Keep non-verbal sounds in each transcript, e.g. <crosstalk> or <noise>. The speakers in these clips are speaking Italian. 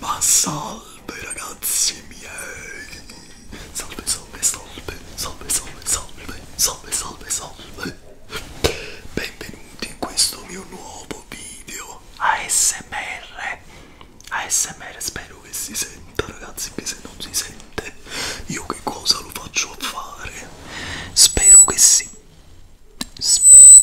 Ma salve ragazzi miei! Salve, salve, salve, salve, salve, salve, salve, salve, salve! Benvenuti in questo mio nuovo video ASMR. ASMR spero che si senta ragazzi, che se non si sente io che cosa lo faccio a fare? Spero che si... Spero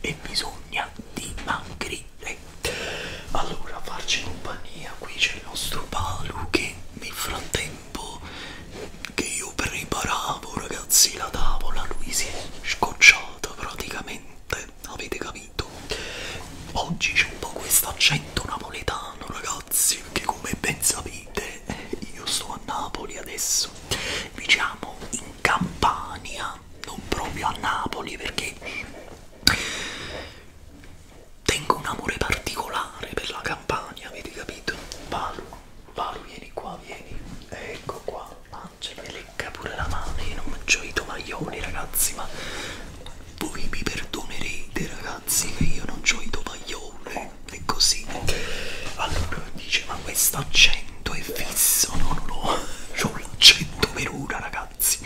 e bisogna dimagrire allora farci compagnia qui c'è il nostro Palu che nel frattempo che io preparavo ragazzi la tavola lui si è scocciato praticamente avete capito oggi c'è un po' questo accento napoletano ragazzi perché come ben sapete io sto a Napoli adesso diciamo in Campania non proprio a Napoli perché tengo un amore particolare per la Campania, avete capito? Paolo, Paolo vieni qua, vieni, ecco qua, Angela mi lecca pure la mano, io non mangio i tovaglioli ragazzi, ma voi mi perdonerete ragazzi che io non ho i tovaglioli, è così. Allora dice ma questa accento l'accento è fisso, no, no, no, c'ho l'accento per ora ragazzi,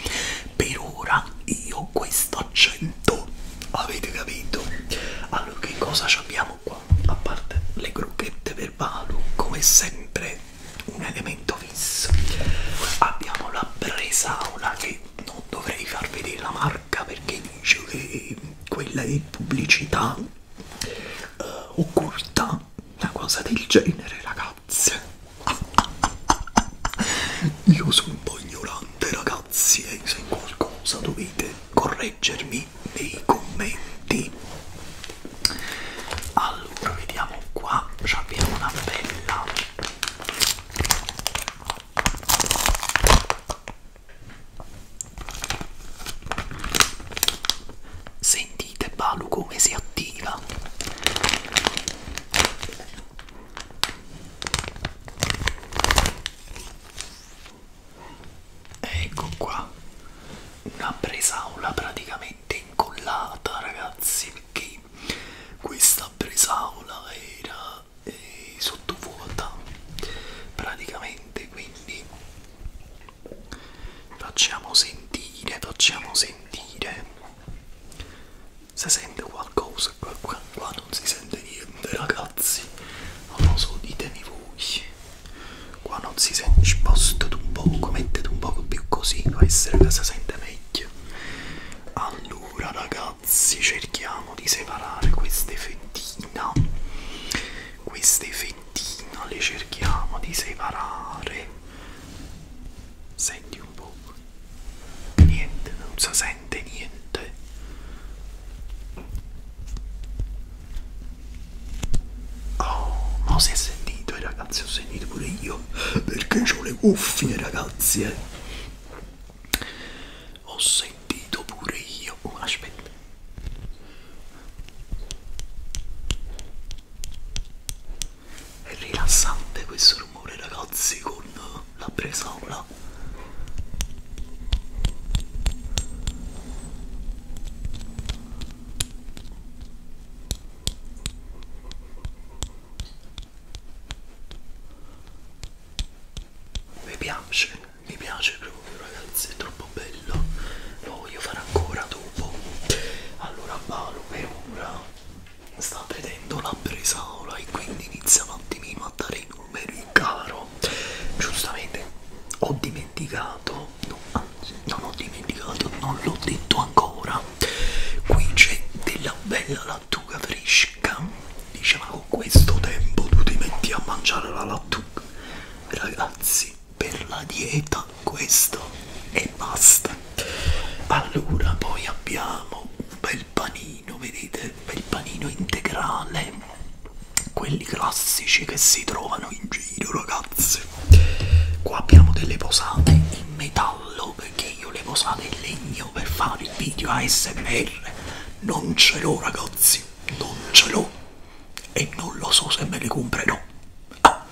per ora io ho questo accento, avete capito? Allora che cosa abbiamo qua? A parte le crocchette per palo, come sempre un elemento fisso, abbiamo la bresaola che non dovrei far vedere la marca perché dice che quella è pubblicità uh, occulta, una cosa del genere ragazzi ragazze io sono un po' ignorante ragazzi e eh. se in qualcosa dovete correggermi nei commenti allora vediamo qua abbiamo una bella senti Sentite Balu come si attiva. Ecco qua, una presaula praticamente incollata ragazzi, perché questa presaula era eh, sottovuota praticamente, quindi Facciamo sentire, facciamo sentire. Si sente qualcosa qua, qua, qua non si sente niente, ragazzi. Non lo so, ditemi voi. Qua non si sente, spostate un poco, mettete un poco più così, può essere che si sente meglio. Allora, ragazzi, cerchiamo di separare queste fettine. Queste fettine fettina le cerchiamo di separare senti un po' niente non si sente niente oh ma si è sentito eh, ragazzi ho sentito pure io perché ho le cuffie ragazzi eh. ho sentito pure io oh, aspetta è rilassante questo rumore ragazzi con la bresaola. Mi piace, mi piace proprio ragazzi, è troppo bello. Lo voglio fare ancora tu allora Balu per ora sta vedendo la bresaola e quindi inizia un attimino a dare i numeri caro giustamente ho dimenticato no, anzi non ho dimenticato non l'ho detto ancora qui c'è della bella lattuga fresca diceva con questo tempo tu ti metti a mangiare la lattuga ragazzi per la dieta questo e basta allora poi abbiamo un bel panino vedete un bel panino integrale quelli classici che si trovano in giro ragazzi qua abbiamo delle posate in metallo perché io le posate in legno per fare il video ASMR non ce l'ho ragazzi non ce l'ho e non lo so se me le comprerò Ah,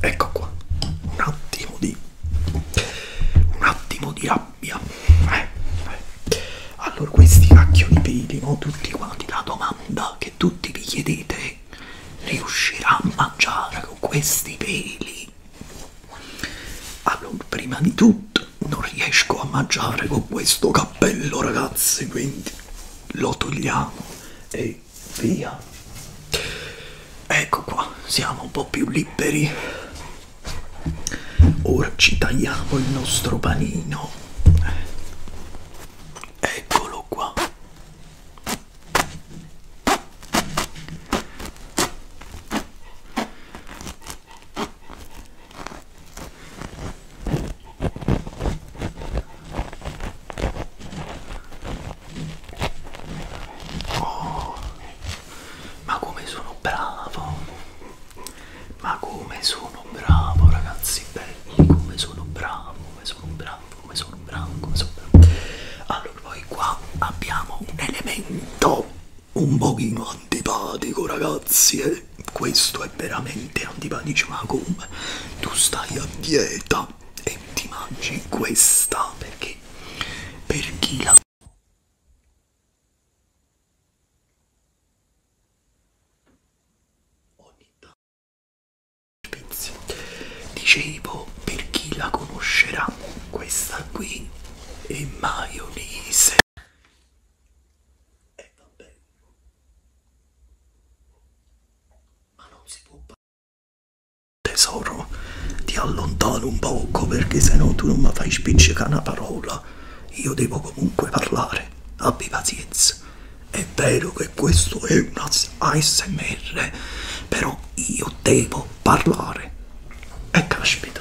ecco qua. Un attimo di un attimo di rabbia. Eh, eh. Allora, questi cacchio di peli, no? Tutti quanti la domanda che tutti vi chiedete riuscirà a mangiare con questi peli? Allora, prima di tutto non riesco a mangiare con questo cappello, ragazzi, quindi lo togliamo e via ecco qua siamo un po' più liberi ora ci tagliamo il nostro panino eccolo qua Buoni. Ma come sono bravo! Ma come sono bravo ragazzi belli! Come sono bravo, come sono bravo, come sono bravo, come sono bravo! Allora poi qua abbiamo un elemento un pochino antipatico ragazzi eh? Questo è veramente antipatico ma come? Tu stai a dieta e ti mangi questa perché per chi la ogni tanto spizio dicevo per chi la conoscerà questa qui è maionese e eh, vabbè ma non si può Tesoro, ti allontano un poco perché se no tu non mi fai spiccicare una parola. Io devo comunque parlare. Abbi pazienza. È vero che questo è un ASMR, però io devo parlare. E caspita.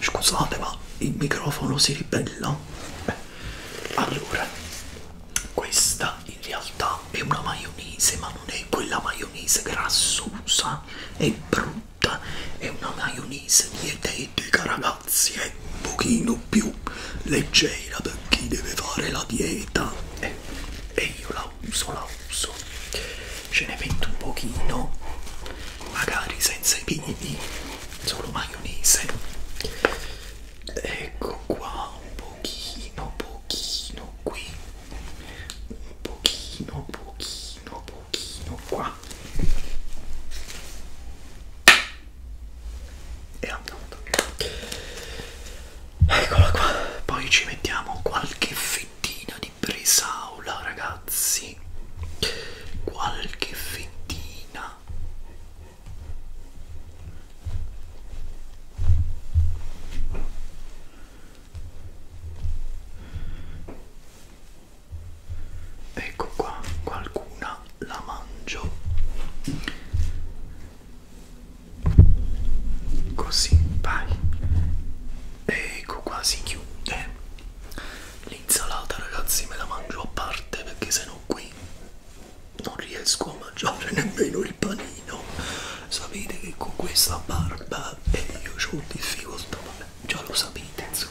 Scusate, ma il microfono si ribella. Beh, allora, questa in realtà è una maionese ma non è quella maionese grassosa è brutta è una maionese dietetica ragazzi è un pochino più leggera per chi deve fare la dieta eh, e io la uso la uso ce ne metto un pochino magari senza i piedi solo maionese ecco qua un po pochino pochino qui un pochino pochino pochino qua e andato eccola qua poi ci mettiamo qualche fettina di bresaola ragazzi qualche fettina Ecco qua, qualcuna la mangio così, vai. Ecco qua si chiude l'insalata, ragazzi, me la mangio a parte perché sennò qui non riesco a mangiare nemmeno il panino sapete che con questa barba eh, io ho difficoltà vabbè, già lo sapete insomma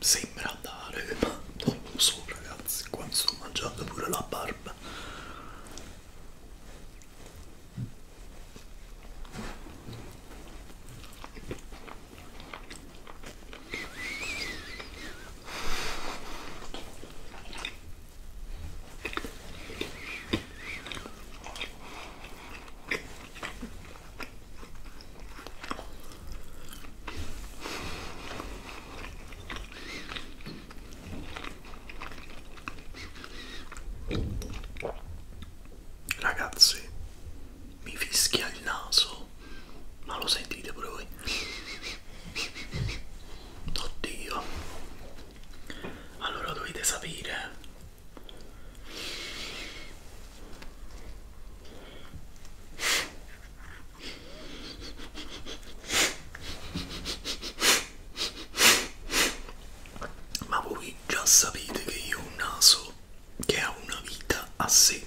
Sembra andare, ma non lo so ragazzi, qua mi sto mangiando pure la barba. Ragazzi, mi fischia il naso, ma lo sentite pure voi? Oddio. Allora dovete sapere ma voi già sapete che io ho un naso che ha una vita a sé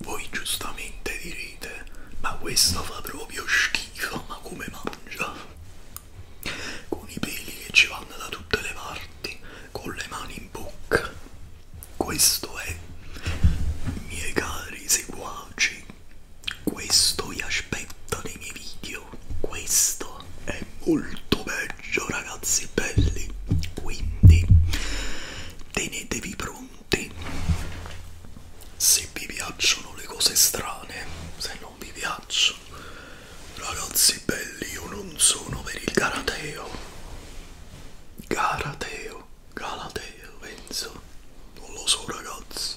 Voi giustamente direte, ma questo fa proprio schifo, ma come mangia? Con i peli che ci vanno da tutte le parti, con le mani in bocca. Questo è, miei cari seguaci, questo vi aspetta nei miei video questo è molto peggio ragazzi belli quindi tenetevi pronti se vi piacciono le cose strane se non vi piacciono ragazzi belli io non sono per il galateo galateo galateo penso non lo so ragazzi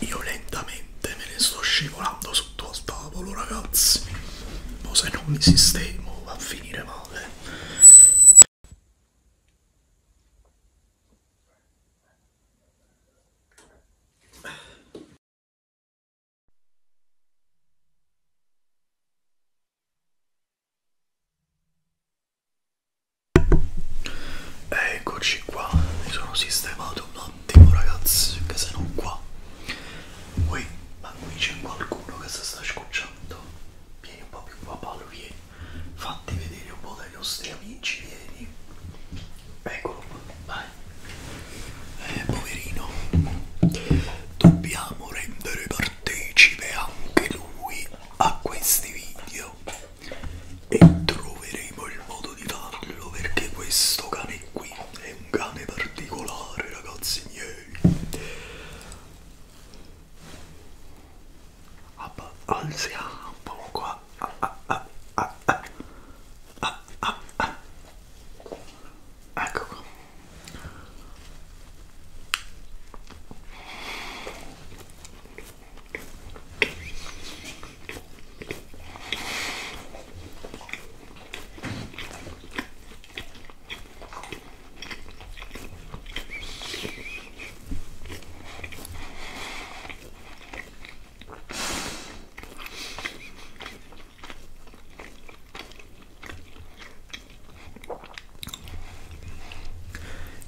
Io lentamente me ne sto scivolando sotto al tavolo, ragazzi. Ma se non mi sistemo va a finire male. Eccoci qua, mi sono sistemato un attimo ragazzi, che se non qua. Qui, ma qui c'è qualcuno che si sta scocciando. Vieni un po' più qua Paolo, vieni. Fatti vedere un po' dai nostri amici, vieni. Eccolo qua, vai. Eh, poverino. Dobbiamo rendere partecipe anche lui a questi video e troveremo il modo di farlo perché questo cane qui è un cane particolare ragazzi miei alziamo ah, un po' qua ah, ah, ah, ah, ah. Ah, ah, ah. ecco qua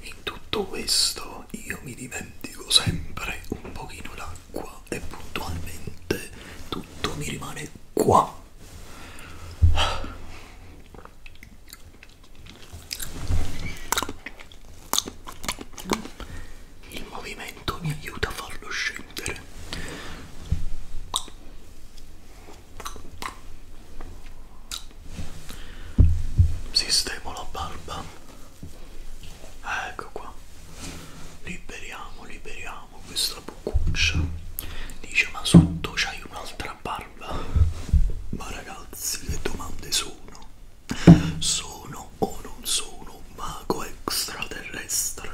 in tutto questo però io mi dimentico sempre un pochino l'acqua e puntualmente tutto mi rimane qua il movimento mi aiuta a farlo scendere sistemo la barba Ah, ecco qua liberiamo liberiamo questa bucuccia dice ma sotto c'hai un'altra barba ma ragazzi le domande sono sono o non sono un mago extraterrestre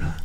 eh?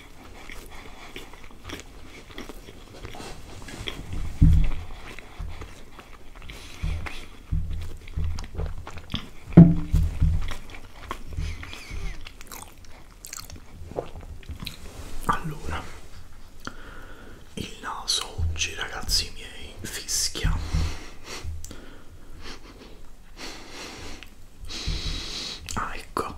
Allora, il naso oggi, ragazzi miei, fischia. Ah, ecco.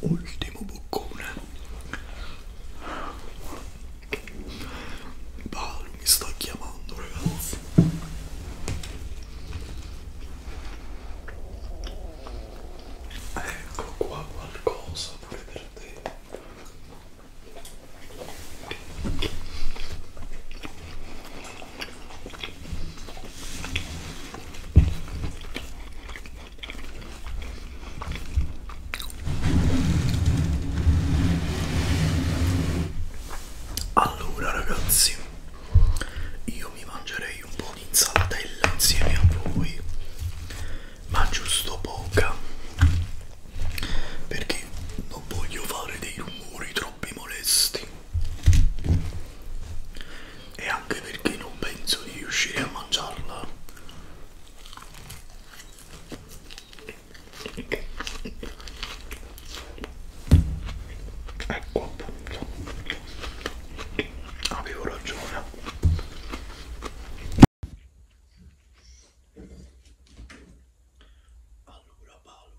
ultimo boccone Paolo mi sta chiamando ragazzi ecco qua qualcosa pure per te allora ragazzi, io mi mangerei un po' di insalatella insieme a voi, ma giusto poca, perché non voglio fare dei rumori troppo molesti e anche perché non penso di riuscire a mangiarla ecco appunto avevo ragione allora Paolo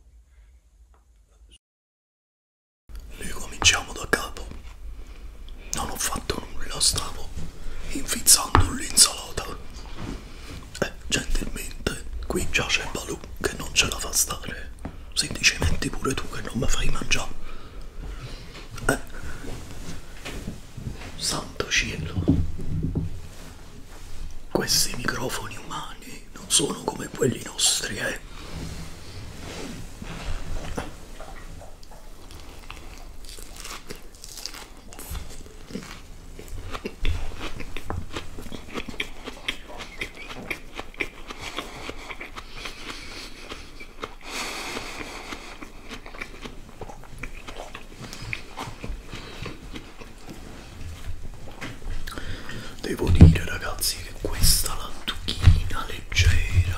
ricominciamo da capo non ho fatto nulla, stavo infizzando l'insalata. E eh, gentilmente, qui già c'è Balù che non ce la fa stare. Semplicemente pure tu che non mi fai mangiare. Eh. Santo cielo. Questi microfoni umani non sono come quelli nostri, eh. Devo dire ragazzi che questa lattuchina leggera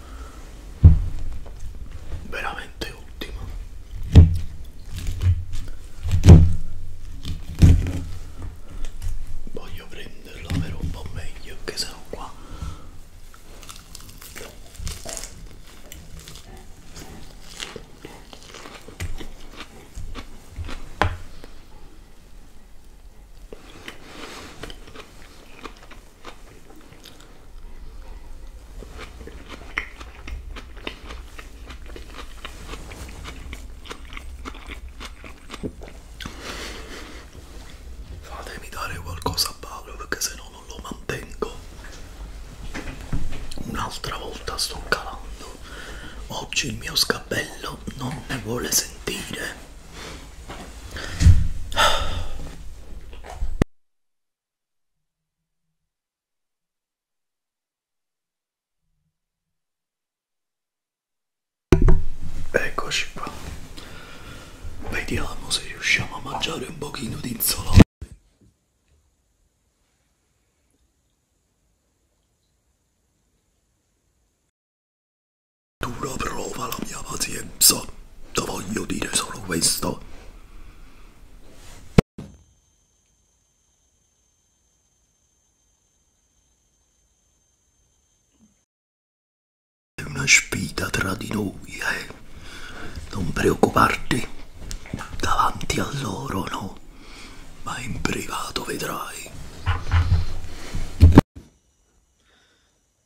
veramente ultima voglio prenderla per un po' meglio che sono qua Fatemi dare qualcosa a Paolo perché se no non lo mantengo. Un'altra volta sto calando. Oggi il mio scappello non ne vuole sentire. Eccoci qua. Vediamo se riusciamo a mangiare un pochino di insalata. Dura prova la mia pazienza. Lo voglio dire solo questo. È una sfida tra di noi, eh. Non preoccuparti. Davanti a loro, no. Ma in privato vedrai.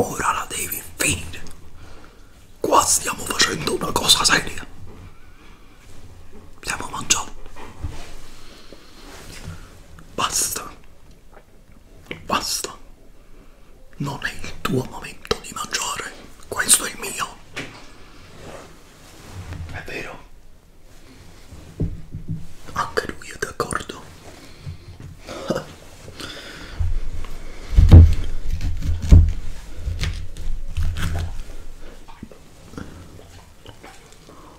Ora la devi finire. Qua stiamo facendo una cosa seria. Stiamo mangiando. Basta. Basta. Non è il tuo momento di mangiare. Questo è il mio. È vero? Anche lui è d'accordo.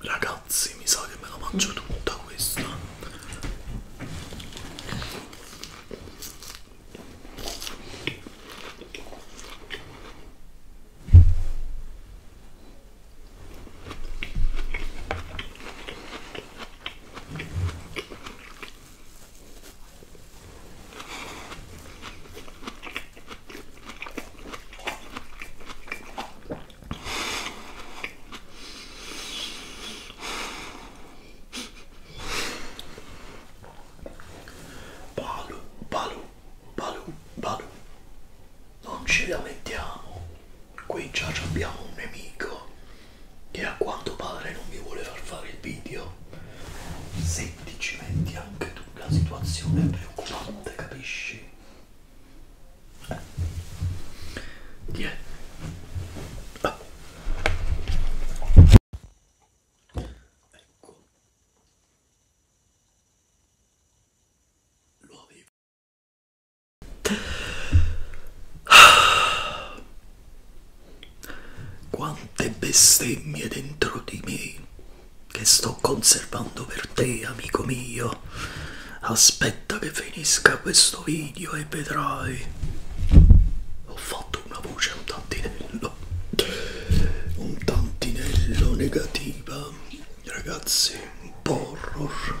Ragazzi, mi sa che me la mangio tutta questa. Balu, balu, balu, balu. Non ci lamentiamo. Qui già abbiamo un nemico che a quanto pare non mi vuole far fare il video. Se ti ci metti anche tu, la situazione è preoccupante, capisci? Yeah. Ah. Ecco. Lo avevo. Ah. <sighs> Quante bestemmie dentro di me che sto conservando per te amico mio aspetta che finisca questo video e vedrai ho fatto una voce un tantinello un tantinello negativa ragazzi un po' horror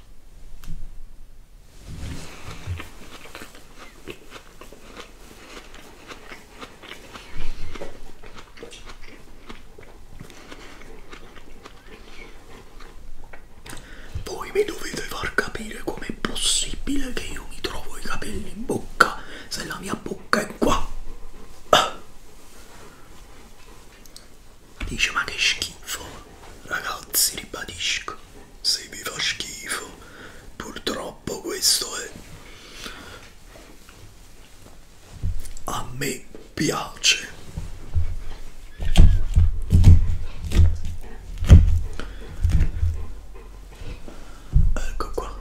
Voi mi dovete far capire com'è possibile che io mi trovo i capelli in bocca se la mia bocca è qua. Ah. Dice ma che schifo, ragazzi ribadisco, se vi fa schifo, purtroppo questo è... A me piace. Ecco qua.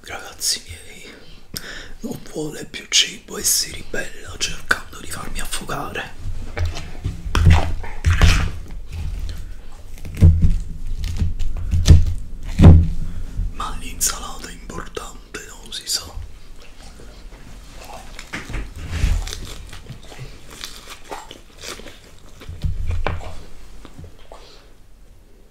Ragazzi miei, non vuole più cibo e si ribella cercando di farmi affogare. Ma l'insalata è importante, non si sa.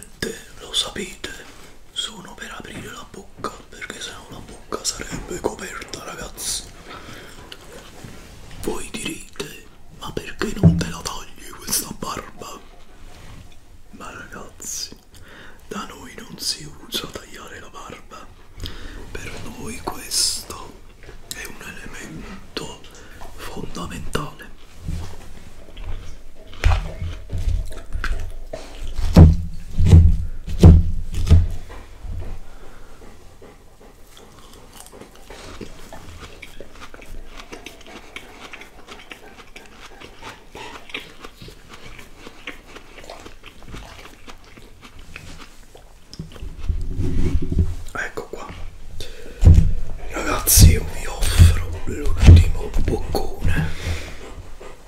virgolette, lo sapete, sono per aprire la bocca, perché se no la bocca sarebbe coperta, ragazzi. Voi direte, ma perché non te la togli questa barba? Ma ragazzi, da noi non si usa tagliare la barba, per noi questo è un elemento fondamentale Ecco qua, ragazzi. Io vi offro l'ultimo boccone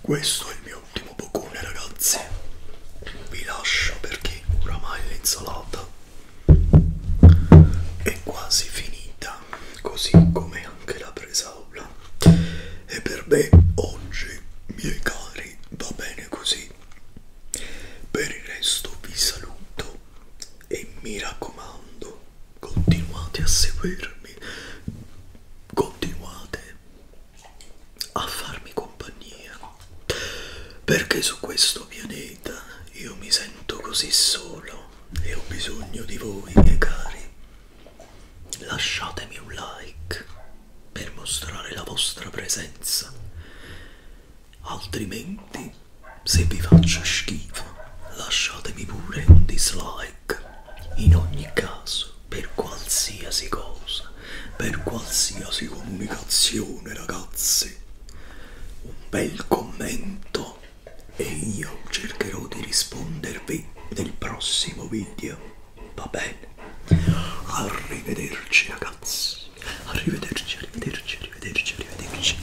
questo è il mio ultimo boccone ragazzi vi lascio perché oramai l'insalata è quasi finita così come anche la presaula e per me oggi miei cari va bene così per il resto vi saluto e mi raccomando continuate a seguirmi, continuate a farmi compagnia, perché su questo pianeta io mi sento così solo e ho bisogno di voi, miei cari. Lasciatemi un like per mostrare la vostra presenza, altrimenti se vi faccio schifo lasciatemi pure un dislike Black. In ogni caso, per qualsiasi cosa, per qualsiasi comunicazione, ragazzi, un bel commento e io cercherò di rispondervi nel prossimo video. Va bene? Arrivederci, ragazzi. Arrivederci, arrivederci, arrivederci, arrivederci.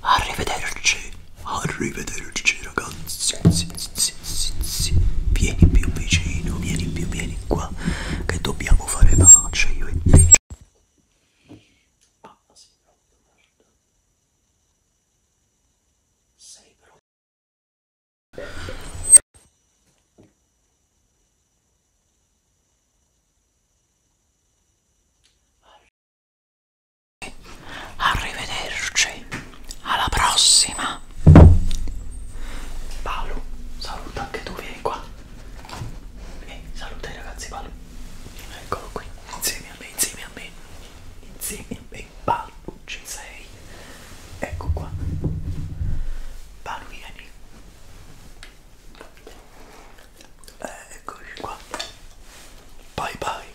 Arrivederci. Arrivederci ragazzi, sì, sì, sì, sì. vieni più vicino, vieni più, vieni qua, che dobbiamo fare la faccia io e te. Ah, sì, Sei però... Arrivederci, alla prossima. Paolo, saluta anche tu, vieni qua. Vieni, saluta i ragazzi, Paolo. Eccolo qui, insieme a me, insieme a me, insieme a me, Paolo, ci sei. Ecco qua. Paolo, vieni. Eccoci qua. Bye bye.